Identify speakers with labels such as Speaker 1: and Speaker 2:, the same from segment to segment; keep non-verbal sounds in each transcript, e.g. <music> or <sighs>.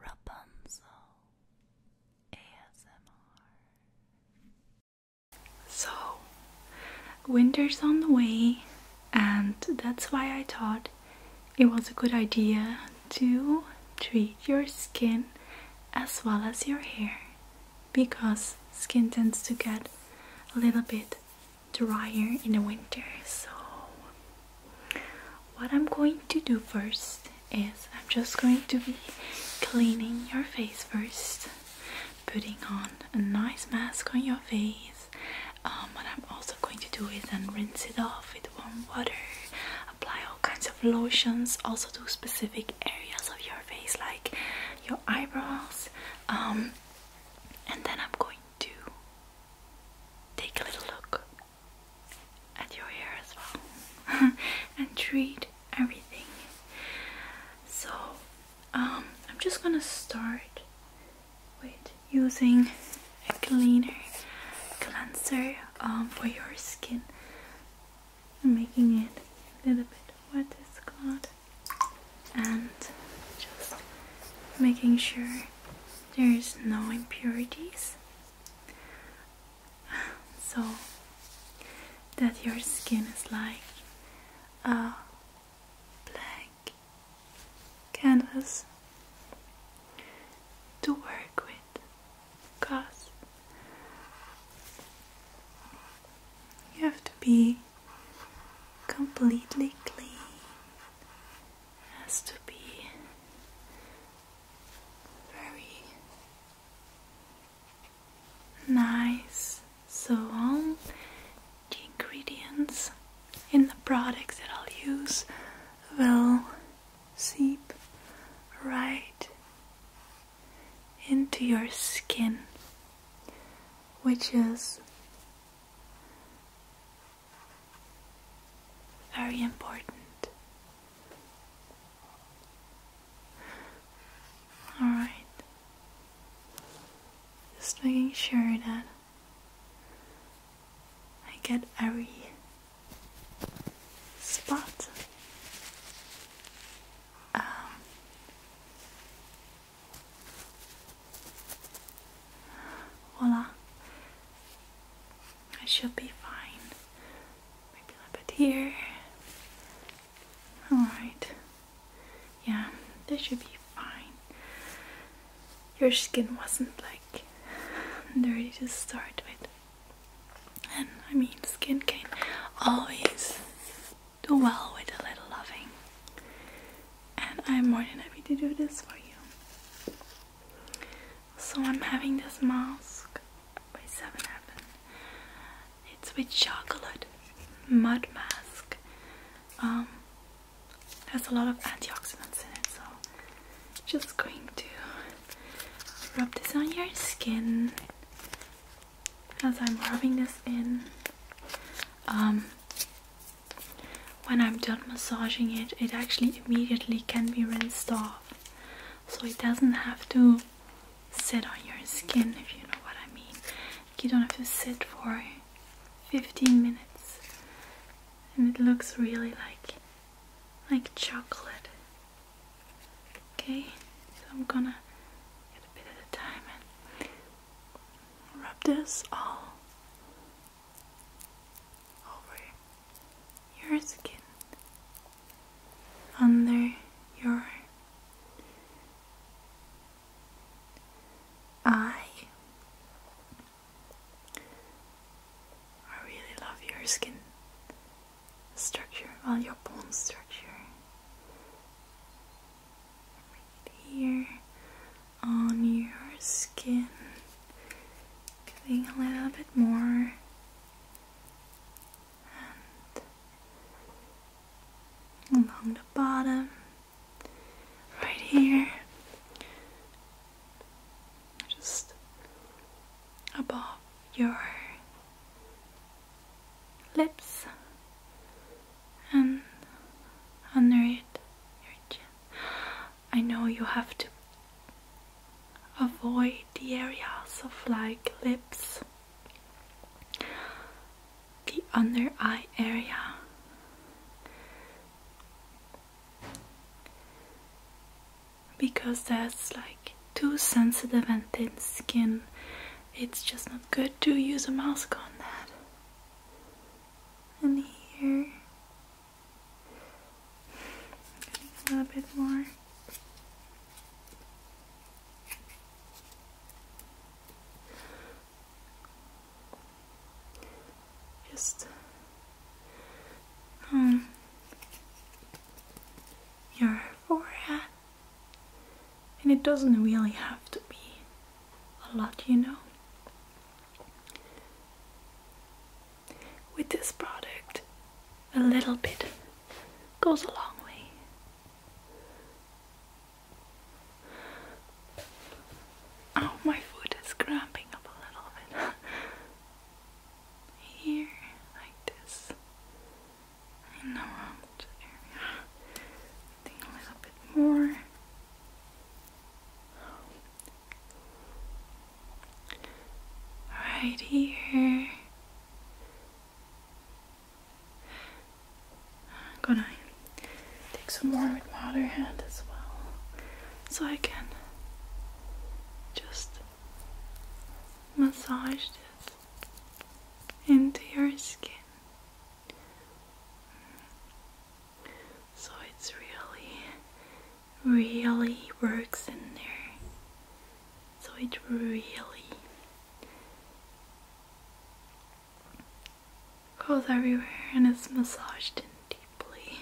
Speaker 1: Rapunzel ASMR. So, winter's on the way, and that's why I thought it was a good idea to treat your skin as well as your hair because skin tends to get a little bit drier in the winter. So, what I'm going to do first is I'm just going to be cleaning your face first, putting on a nice mask on your face. Um, what I'm also going to do is then rinse it off with warm water, apply all kinds of lotions, also to specific areas of your face like your eyebrows. Um, and then I'm going to take a little look at your hair as well <laughs> and treat everything. So, um, I'm just gonna start with using a cleaner cleanser um, for your skin, making it a little bit wet, it's called, and just making sure there's no impurities so that your skin is like a blank canvas to work with because you have to be completely clean has to be very nice. So, all um, the ingredients in the products that I'll use will seep right into your skin, which is very important. Alright. Just making sure that I get every spot. Um, voila. I should be fine. Maybe a little bit here. Alright. Yeah, this should be fine. Your skin wasn't like dirty to start with. And I mean, skin can always do well with a little loving. And I'm more than happy to do this for you. So I'm having this mask by 7 It's with chocolate mud mask. Um, there's a lot of antioxidants in it, so just going to rub this on your skin as I'm rubbing this in. Um, when I'm done massaging it, it actually immediately can be rinsed off so it doesn't have to sit on your skin if you know what I mean. You don't have to sit for 15 minutes and it looks really like like chocolate. Okay, so I'm gonna get a bit at a time rub this all over your skin, under your eye. I really love your skin structure, while your bone structure. here on your skin giving a little bit more along the bottom right here just above your lips and under it your chin I know you have to avoid the areas of like lips, the under eye area. Because that's like too sensitive and thin skin. It's just not good to use a mask on that. And here, a little bit more. Just um your forehead, and it doesn't really have to be a lot, you know with this product, a little bit goes a long way. Oh, my foot is cramping up a little bit. <laughs> Here, like this. I know out area. a little bit more right here. I'm gonna take some more with my other hand as well so I can just massage this into your skin so it's really really works in there so it really goes everywhere and it's massaged in deeply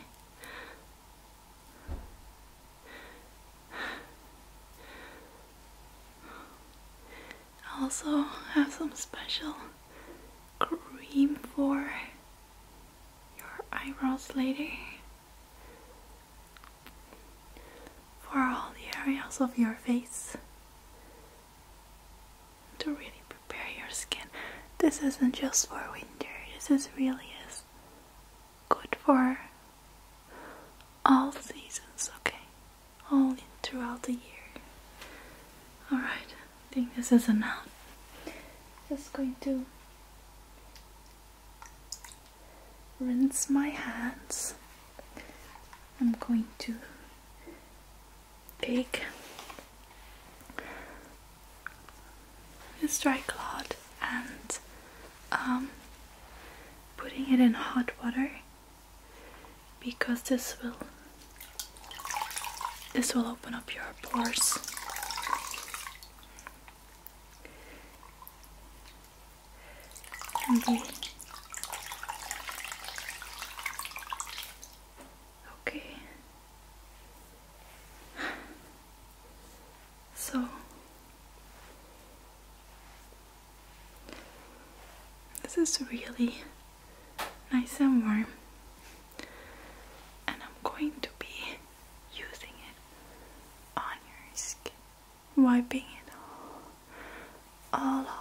Speaker 1: also have some special cream for your eyebrows later for all the areas of your face to really prepare your skin. This isn't just for winter, this is really is good for all seasons, okay? All throughout the year. Alright, I think this is enough. Just going to rinse my hands. I'm going to take this dry cloth and um, putting it in hot water because this will this will open up your pores Okay. Okay. So this is really nice and warm, and I'm going to be using it on your skin, wiping it all, all off.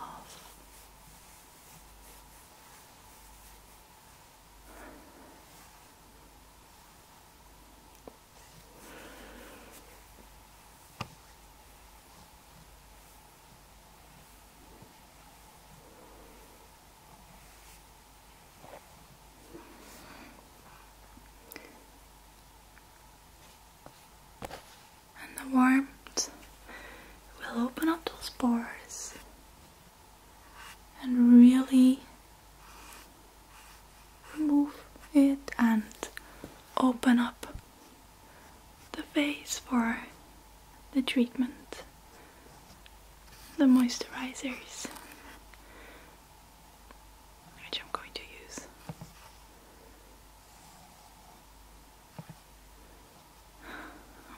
Speaker 1: And the warmth will open up those pores and really move it and open up the face for the treatment, the moisturizers, which I'm going to use.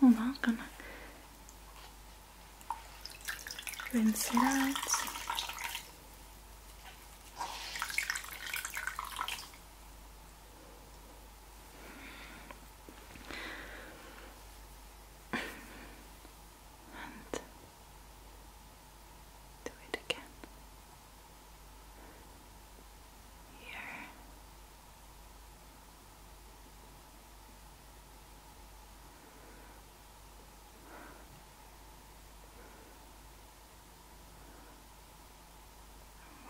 Speaker 1: Oh, I'm not gonna rinse it out. And do it again. Here.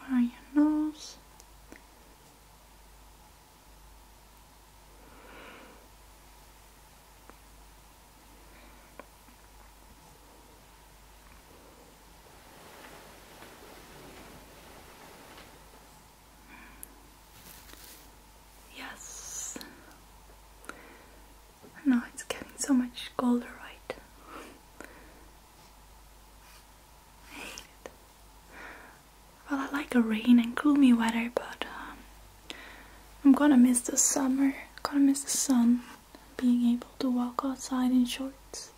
Speaker 1: Where your nose? Yes. Now it's getting so much colder, right? I hate it. Well, I like a rain and gloomy weather, but um, I'm gonna miss the summer, gonna miss the sun, being able to walk outside in shorts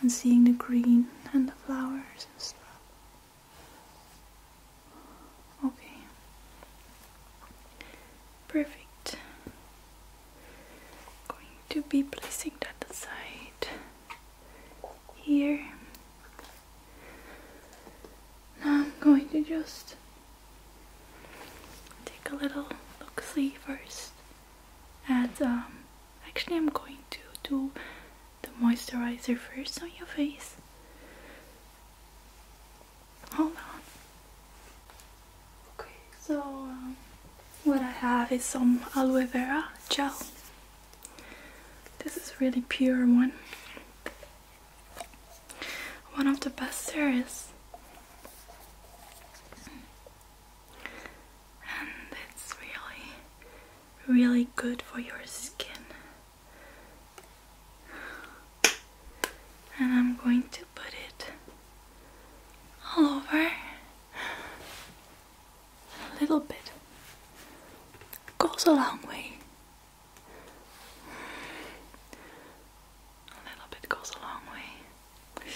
Speaker 1: and seeing the green and the flowers and stuff. Okay, perfect. Going to be placing that aside here. Now I'm going to just take a little look see first. And um, actually, I'm going to do the moisturizer first on your face. Hold on. Okay, so um, what I have is some aloe vera gel. This is really pure one. One of the best serums, And it's really, really good for your skin. And I'm going to put it all over a little bit. Goes a long way. A little bit goes a long way.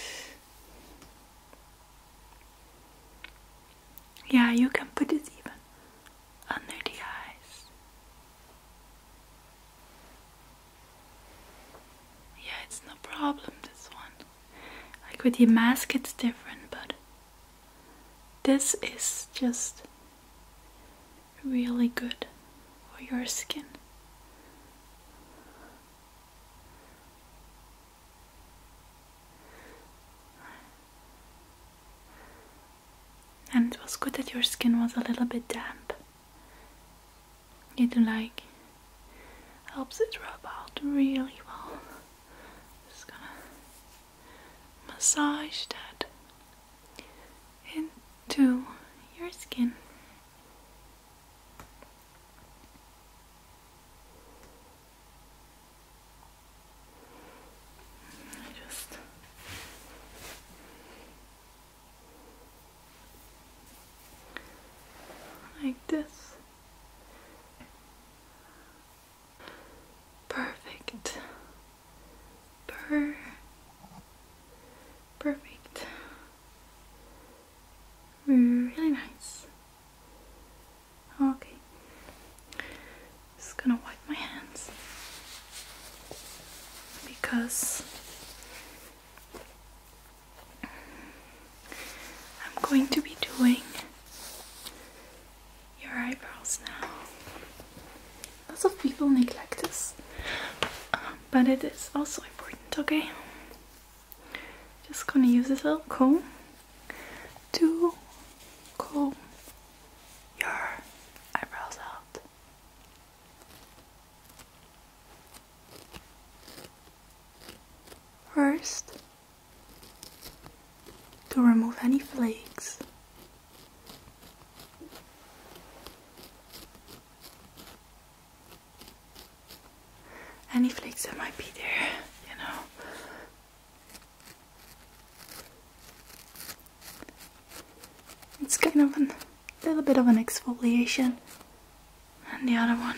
Speaker 1: Yeah, you can put it even under the eyes. Yeah, it's no problem, this one. Like with the mask, it's different, but this is just really good for your skin. And it was good that your skin was a little bit damp. It like helps it rub out really well. Just gonna massage that into your skin. Just like this. Perfect. Per perfect. Really nice. Okay. Just gonna wipe my hands because I'm going to be doing your eyebrows now lots of people neglect this but it is also important okay just gonna use this little comb to comb your eyebrows out First, to remove any flakes any flakes that might be there, you know. It's kind of a little bit of an exfoliation. And the other one.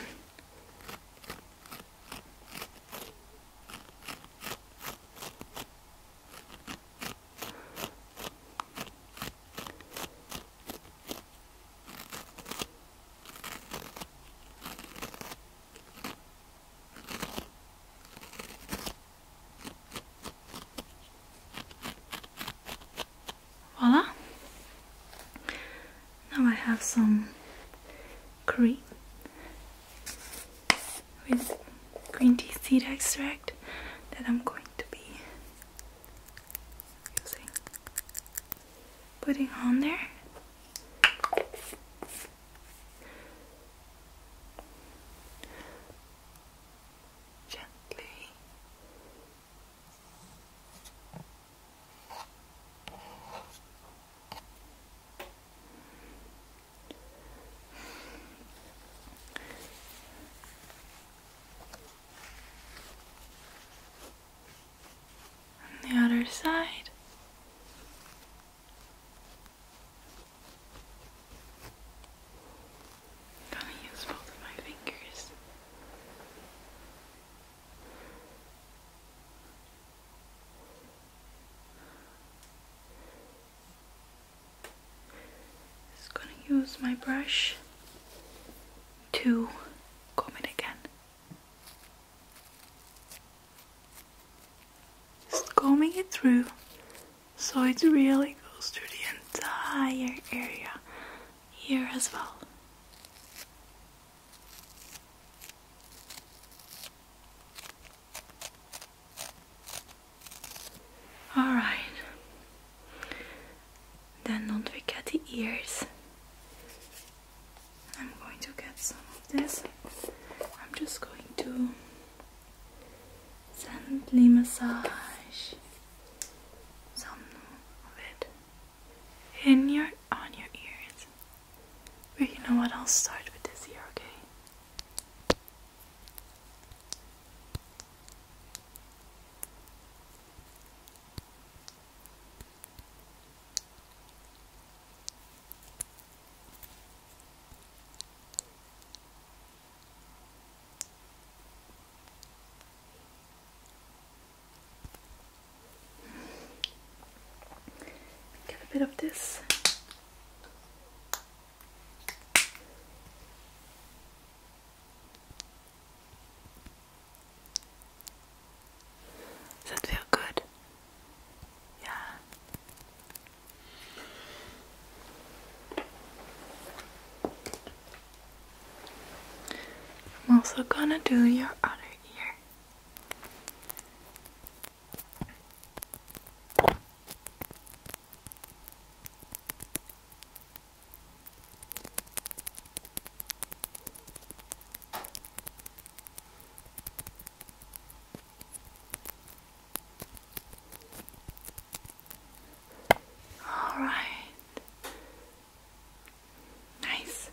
Speaker 1: Voila! Now I have some cream with green tea seed extract that I'm going to be putting on there gently on the other side. gonna use both of my fingers. Just gonna use my brush to comb it again. Just combing it through so it really goes through the entire area here as well. Alright. Then don't forget the ears. I'm going to get some of this. I'm just going to gently massage some of it in your on your ears. But you know what? I'll start with this ear, okay? Get a bit of this. Does that feel good? Yeah. I'm also gonna do your other ear. All right. Nice.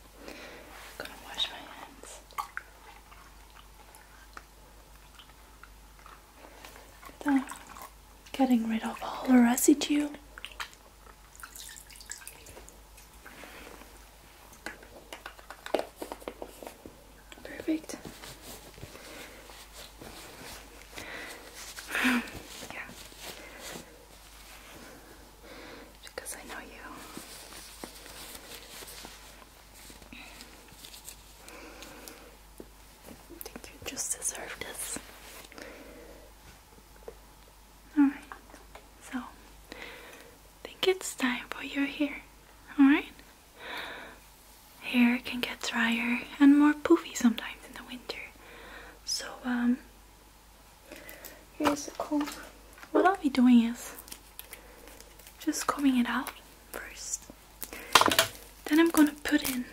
Speaker 1: gonna wash my hands the, getting rid of all the residue. Perfect. <sighs> yeah. Because I know you. I think you just deserve this. Alright, so I think it's time for your hair. Alright? Hair can get drier and more poofy sometimes in the winter. So, um, here's a comb. What I'll be doing is just combing it out first. Then I'm gonna put in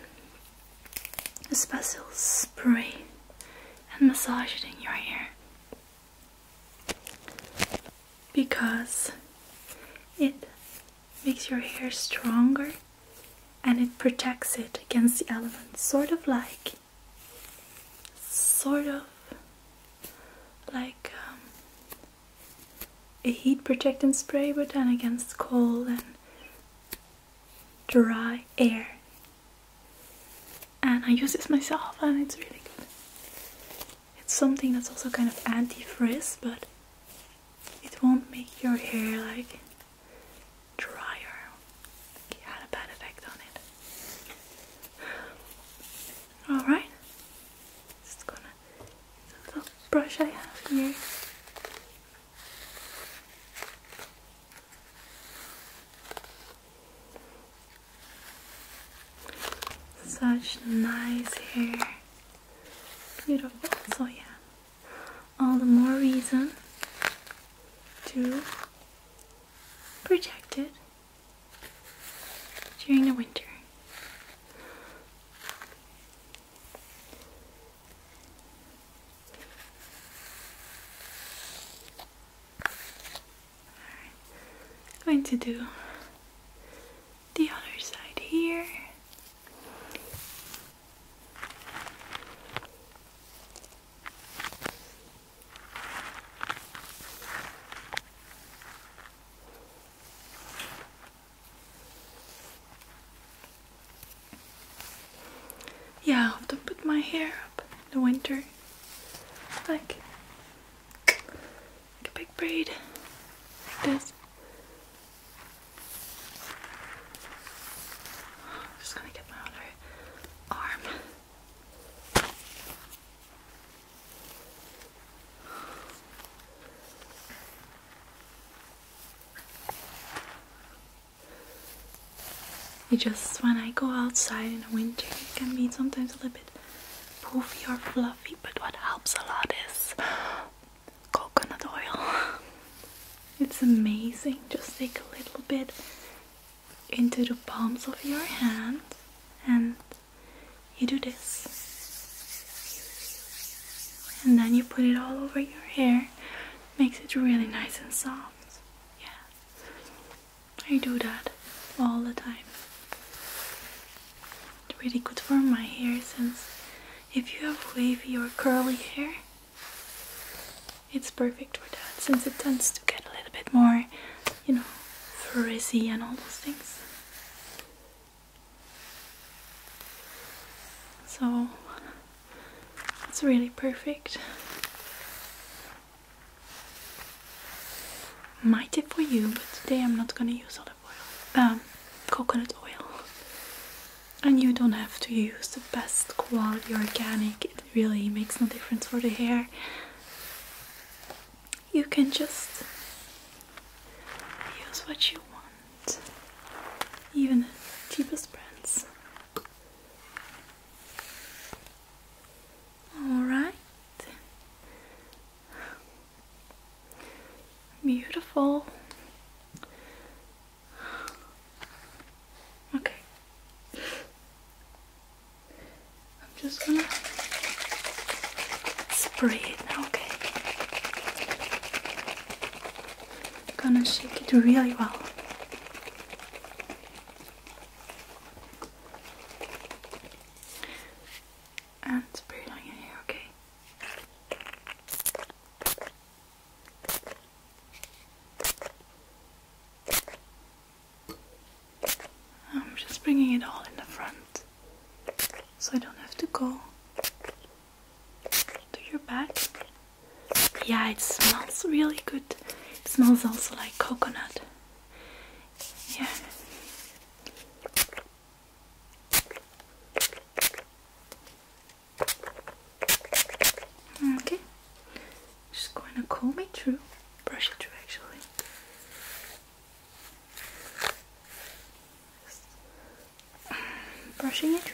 Speaker 1: a special spray and massage it in your hair because it makes your hair stronger and it protects it against the elements, sort of like, sort of like um, a heat protecting spray, but then against cold and dry air and I use this myself and it's really good it's something that's also kind of anti-frizz but it won't make your hair like drier it had a bad effect on it alright just gonna it's a little brush I have here such nice hair. Beautiful. So, yeah, all the more reason to protect it during the winter. I'm going to do the other side here. Yeah, I have to put my hair up in the winter. Like, like a big braid. Like this. just gonna get my other arm. You just, when I go outside in the winter, it can be sometimes a little bit poofy or fluffy, but what helps a lot is coconut oil. It's amazing. Just take a little bit into the palms of your hand and you do this. And then you put it all over your hair makes it really nice and soft. Yeah, I do that all the time. It's really good for my hair since if you have wavy or curly hair, it's perfect for that since it tends to get a little bit more, you know, frizzy and all those things. So it's really perfect. Might it for you, but today I'm not gonna use olive oil, um, coconut oil. And you don't have to use the best quality organic, it really makes no difference for the hair. You can just use what you want and even cheapest brands. Alright. Beautiful. Okay. I'm just gonna spray it okay? gonna shake it really well. And spray it on your hair, okay? I'm just bringing it all in the front so I don't have to go to your back. Yeah, it smells really good. smells also like coconut. Yeah. Okay. Just going to comb it through, brush it through actually brushing it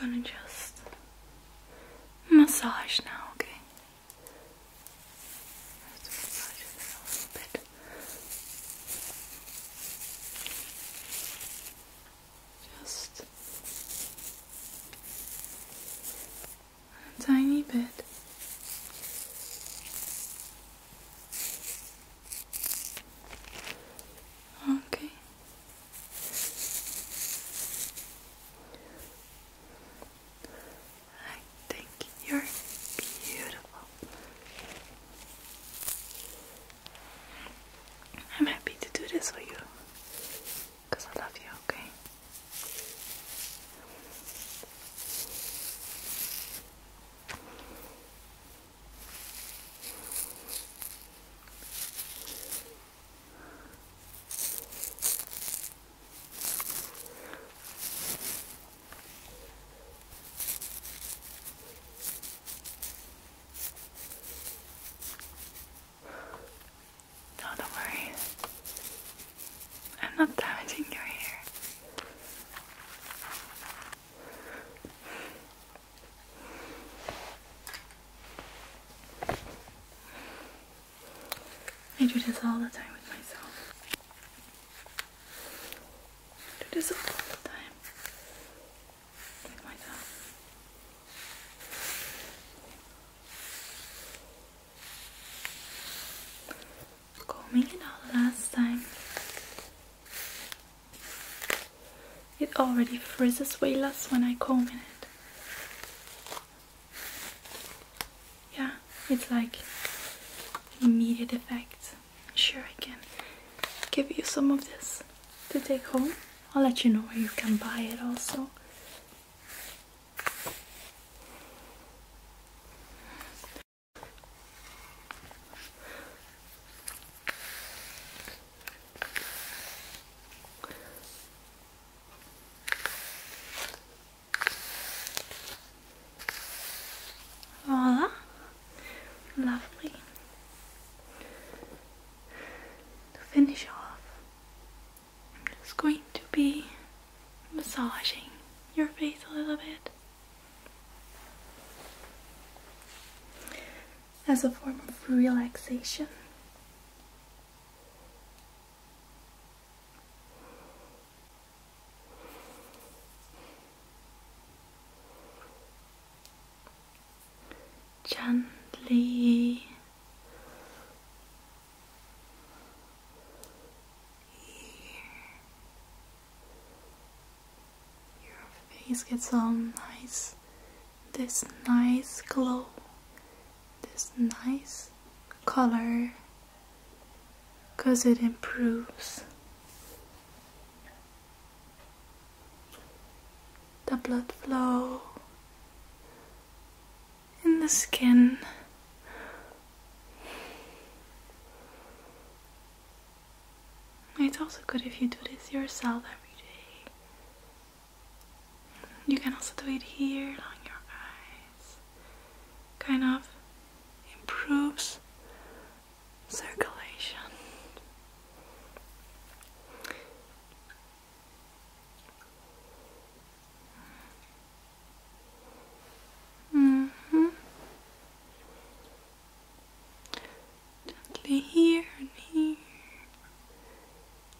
Speaker 1: I'm gonna just massage now, okay? a Just a tiny bit. Okay. I think you're beautiful. I'm happy to do this for you because I love you, okay? don't worry. I'm not damaging your hair. I do this all the time with myself. do this all the time with myself. Combing it out last time. It already frizzes way less when I comb in it. Yeah, it's like immediate effect. Sure, I can give you some of this to take home. I'll let you know where you can buy it also. Voila. Lovely. To finish off, I'm just going to be massaging your face a little bit. As a form of relaxation, Gently your face gets all nice this nice glow, this nice color because it improves the blood flow in the skin. It's also good if you do this yourself every day. You can also do it here on your eyes. Kind of improves circulation. Mm -hmm. here and here,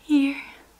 Speaker 1: here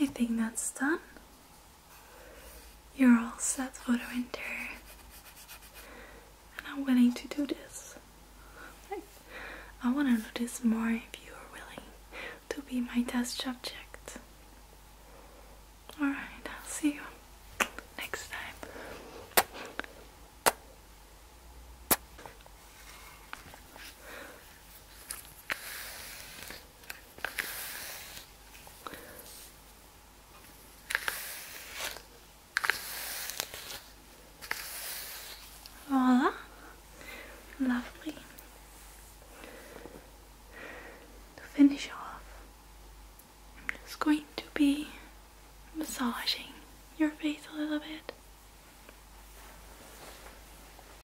Speaker 1: I think that's done. You're all set for the winter. And I'm willing to do this. I want to do this more if you are willing to be my test subject. Alright, I'll see you next time. Voila. Lovely. To finish off, I'm just going to be massaging your face a little bit.